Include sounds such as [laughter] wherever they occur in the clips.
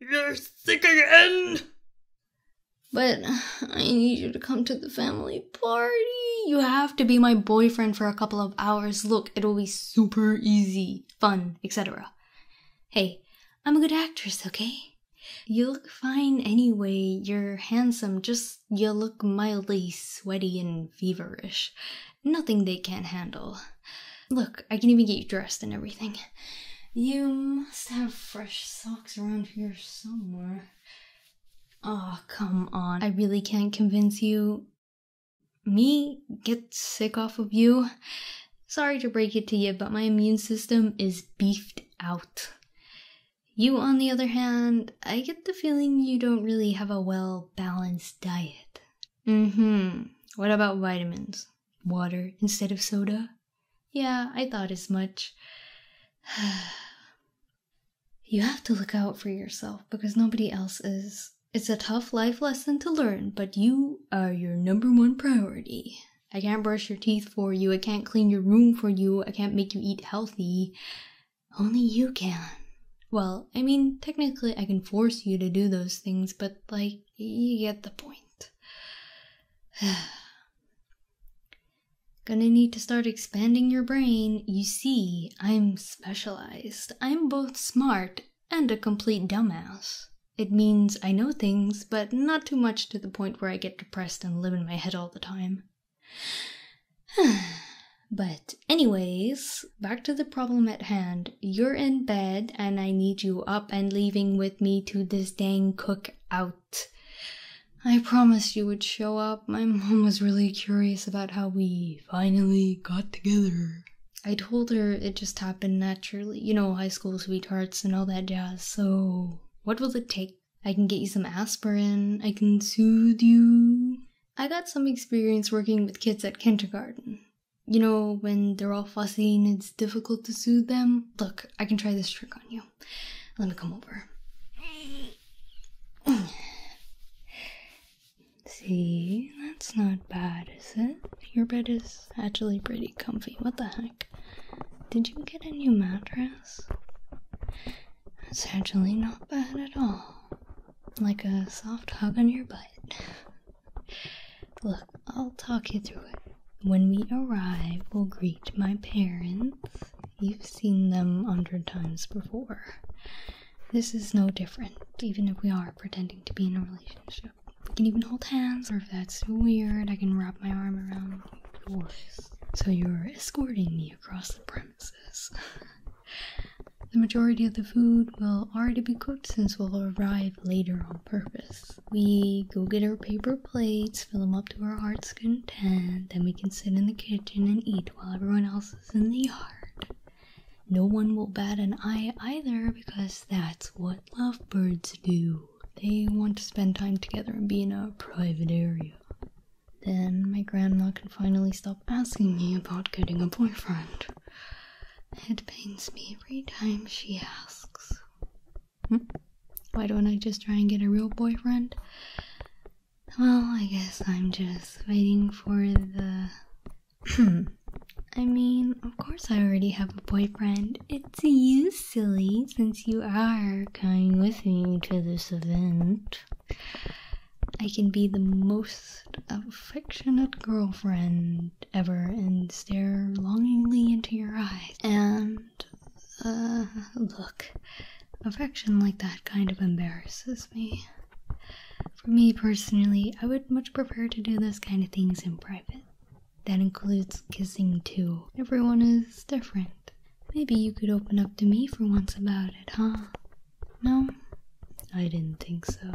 You're sick again? But I need you to come to the family party. You have to be my boyfriend for a couple of hours. Look, it'll be super easy, fun, etc. Hey, I'm a good actress, okay? You look fine anyway. You're handsome, just you look mildly sweaty and feverish. Nothing they can't handle. Look, I can even get you dressed and everything. You must have fresh socks around here somewhere. Oh, come on. I really can't convince you. Me get sick off of you? Sorry to break it to you, but my immune system is beefed out. You, on the other hand, I get the feeling you don't really have a well balanced diet. Mm-hmm. What about vitamins? Water instead of soda? Yeah, I thought as much. [sighs] you have to look out for yourself because nobody else is. It's a tough life lesson to learn, but you are your number one priority. I can't brush your teeth for you. I can't clean your room for you. I can't make you eat healthy. Only you can. Well, I mean, technically, I can force you to do those things, but like, you, get the point. [sighs] Gonna need to start expanding your brain. You see, I'm specialized. I'm both smart and a complete dumbass. It means I know things, but not too much to the point where I get depressed and live in my head all the time. [sighs] but, anyways, back to the problem at hand you're in bed, and I need you up and leaving with me to this dang cookout. I promised you would show up. My mom was really curious about how we finally got together. I told her it just happened naturally. You know, high school sweethearts and all that jazz. So, what will it take? I can get you some aspirin. I can soothe you. I got some experience working with kids at kindergarten. You know, when they're all fussy and it's difficult to soothe them? Look, I can try this trick on you. Let me come over. [clears throat] See, that's not bad, is it? Your bed is actually pretty comfy. What the heck? Did you get a new mattress? It's actually not bad at all. Like a soft hug on your butt. Look, I'll talk you through it. When we arrive, we'll greet my parents. You've seen them a hundred times before. This is no different, even if we are pretending to be in a relationship. We can even hold hands, or if that's weird, I can wrap my arm around yours. So you're escorting me across the premises. The majority of the food will already be cooked since we'll arrive later on purpose. We go get our paper plates, fill them up to our heart's content, then we can sit in the kitchen and eat while everyone else is in the yard. No one will bat an eye either because that's what lovebirds do. They want to spend time together and be in a private area. Then my grandma can finally stop asking me about getting a boyfriend. It pains me every time she asks. Hmm? Why don't I just try and get a real boyfriend? Well, I guess I'm just waiting for the. Hmm. I mean, of course, I already have a boyfriend. It's you, silly, since you are coming with me to this event. I can be the most affectionate girlfriend ever and stare longingly into your eyes and uh, look affection like that kind of embarrasses me for me personally i would much prefer to do those kind of things in private that includes kissing too everyone is different maybe you could open up to me for once about it huh no i didn't think so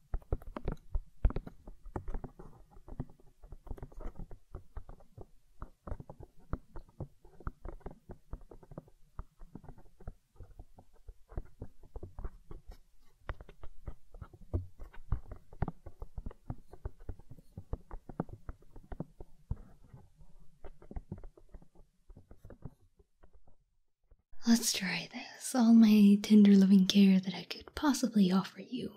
Let's try this. All my tender loving care that I could possibly offer you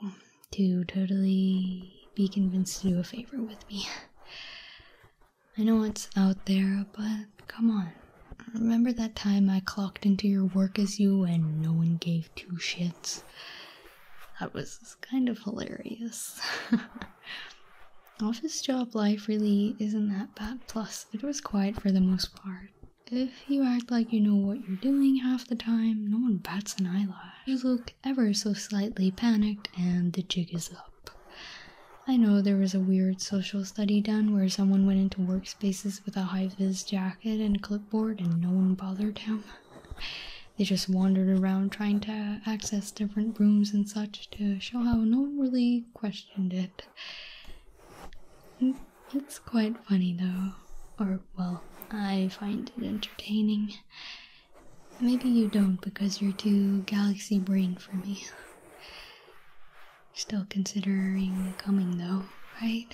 to totally be convinced to do a favor with me. I know it's out there, but come on. Remember that time I clocked into your work as you and no one gave two shits? That was kind of hilarious. [laughs] Office job life really isn't that bad, plus, it was quiet for the most part. If you act like you know what you're doing half the time, no one bats an eyelash. You look ever so slightly panicked, and the jig is up. I know there was a weird social study done where someone went into workspaces with a high vis jacket and a clipboard and no one bothered him. They just wandered around trying to access different rooms and such to show how no one really questioned it. It's quite funny though, or well, I find it entertaining. Maybe you don't because you're too galaxy brain for me. Still considering coming though, right?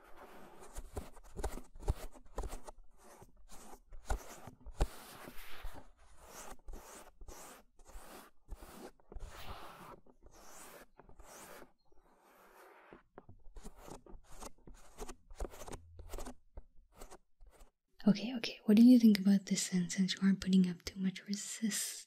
Okay, okay, what do you think about this sentence? You aren't putting up too much resistance.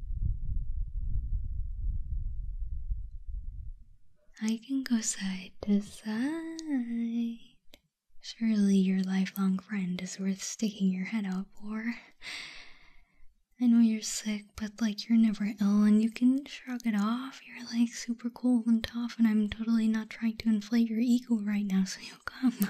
I can go side to side. Surely your lifelong friend is worth sticking your head out for. I know you're sick, but like you're never ill and you can shrug it off. You're like super cool and tough, and I'm totally not trying to inflate your ego right now, so you'll come.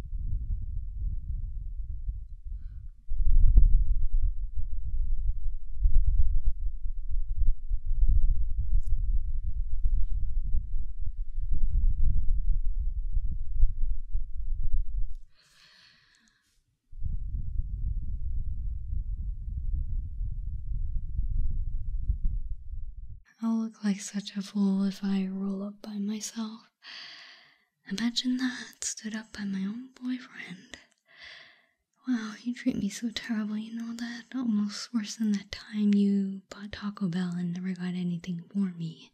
I'll look like such a fool if I roll up by myself. Imagine that, stood up by my own boyfriend. Wow, you treat me so terrible, you know that? Almost worse than that time you bought Taco Bell and never got anything for me.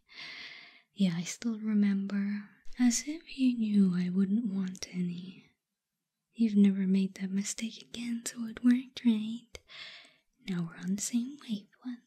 Yeah, I still remember. As if you knew I wouldn't want any. You've never made that mistake again, so it worked right. Now we're on the same wavelength.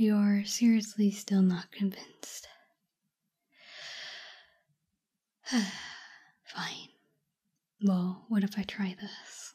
You're seriously still not convinced. [sighs] Fine. Well, what if I try this?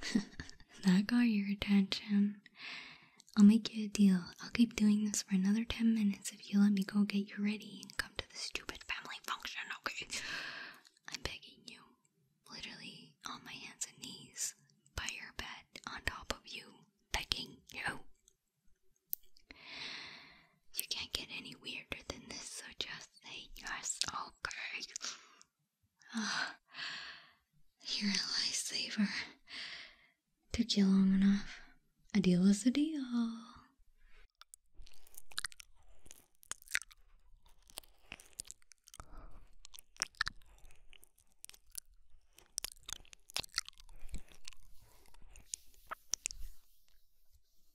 [laughs] that got your attention. I'll make you a deal. I'll keep doing this for another 10 minutes if you let me go get you ready and come to the stupid family function, okay? I'm begging you. Literally on my hands and knees, by your bed, on top of you, begging you. You can't get any weirder than this, so just say yes, okay? Ah, [sighs] you're a lifesaver. Took you long enough. A deal is a deal.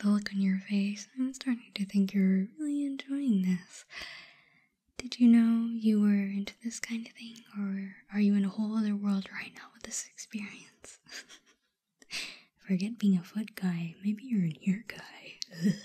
the look on your face, I'm starting to think you're really enjoying this. Did you know you were into this kind of thing, or are you in a whole other world right now with this experience? [laughs] Forget being a foot guy, maybe you're an ear guy. [laughs]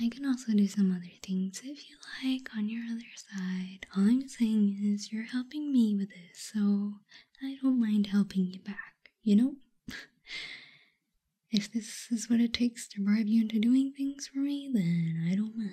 I can also do some other things if you like on your other side. All I'm saying is you're helping me with this, so I don't mind helping you back, you know? [laughs] if this is what it takes to bribe you into doing things for me, then I don't mind.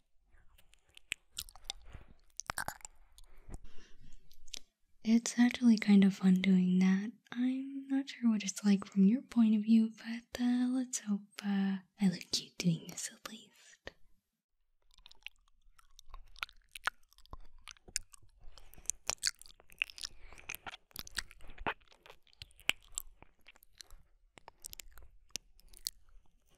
It's actually kind of fun doing that. I'm not sure what it's like from your point of view, but uh, let's hope uh, I look cute doing this at least.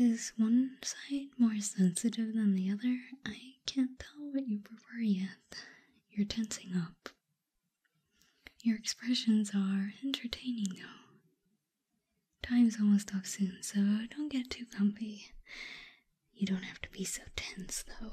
Is one side more sensitive than the other? I can't tell what you prefer yet. You're tensing up. Your expressions are entertaining though. Time's almost up soon, so don't get too comfy. You don't have to be so tense though.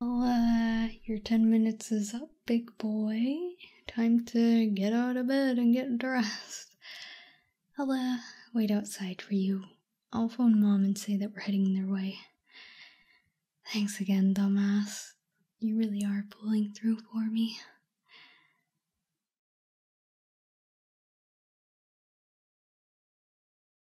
Oh, uh, your 10 minutes is up, big boy. Time to get out of bed and get dressed. I'll uh, wait outside for you. I'll phone mom and say that we're heading their way. Thanks again, dumbass. You really are pulling through for me.